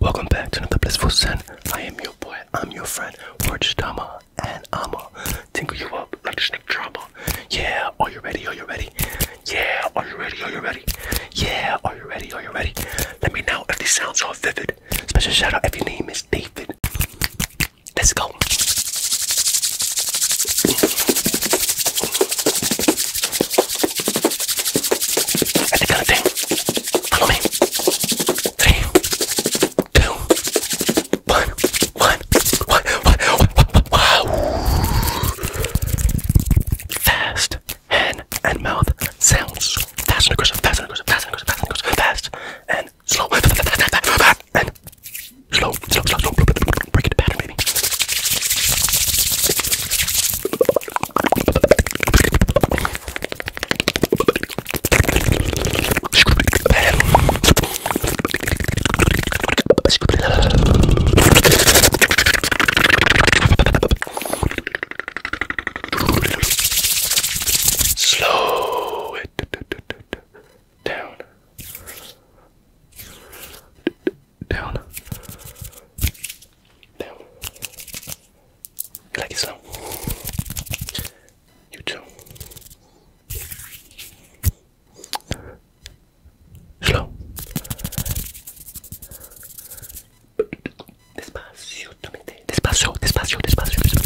Welcome back to another blissful sin. I am your boy, I'm your friend, Warch Tama, and i am a tingle you up like a snake drama. Yeah, are you ready? Are you ready? Yeah, are you ready? Are you ready? Yeah, are you ready? Are you ready? Let me know if these sounds are vivid. Special shout out if your name is David. Let's go. At the kind of thing. Follow me. Three, two, one, one, one, one, one, Fast and slow, Slow it down. Down. Down. Like so. You too. Despacio, despacio, despacio, despacio.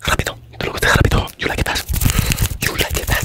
Rápido, te rápido. You like that. You like that.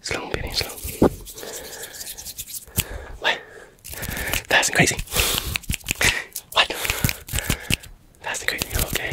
Slow, baby, slow. What? That's crazy. What? That's crazy. Okay.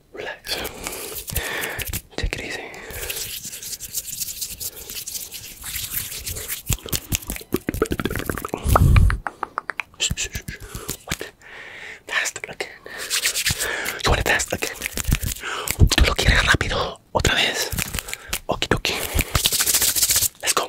relax. Take it easy. Shh, again. You want to fast again? Tú lo quieres rápido. Otra vez. Okie dokie. Let's go.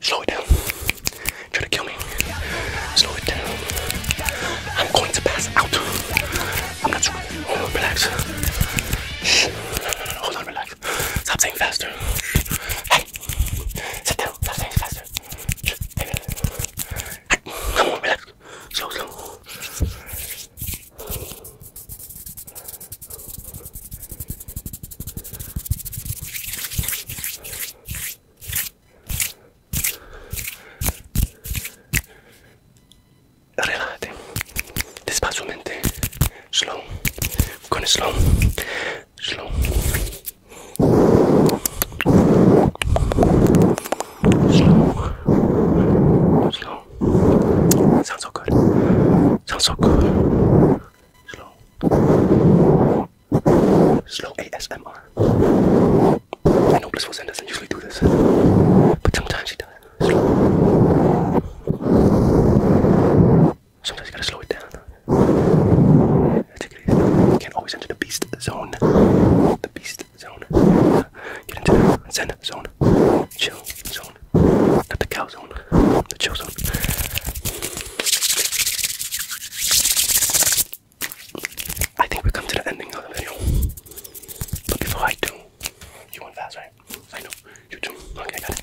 Slow it down. Try to kill me. Slow it down. I'm going to pass out. I'm not sure. Hold on, relax. Hold on, relax. Stop saying faster. Hey, sit down. Stop saying faster. Come on, relax. Slow, slow. Relájate, despacio mente, slow, con slow, slow. Slow. Slow. Sounds good. Sounds good. Slow. Slow ASMR. I know Blissful Zen doesn't usually do this, but sometimes she does. Slow. Sometimes you gotta slow it down. Take Can't always enter the beast zone. The beast zone. Get into the zen zone. Chill zone. Not the cow zone. The chill zone. I think we come to the ending of the video. But before I do, you want fast, right? I know. You do. Okay, I got it.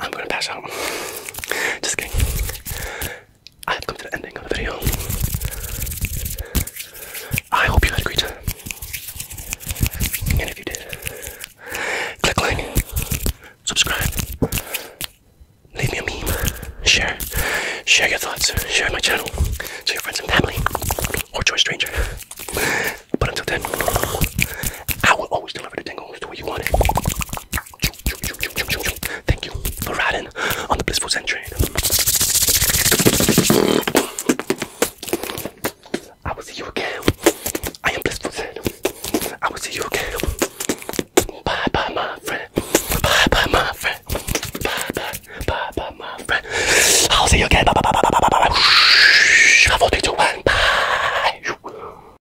I'm gonna pass out. Just kidding. I have come to the ending of the video. I hope you had a great time. And if you did, click like, subscribe, leave me a meme, share, share your thoughts, share my channel to your friends and family, or to stranger. But until then, I will always deliver the tingles the way you want it. Thank you for riding on the blissful train. I will see you again. I am blissful Zen. I will see you again. Bye bye, my friend. Bye bye, my friend. Bye bye, bye bye, my friend. I'll see you again. Bye bye, bye bye, bye bye, bye bye. I'll take you one. Bye.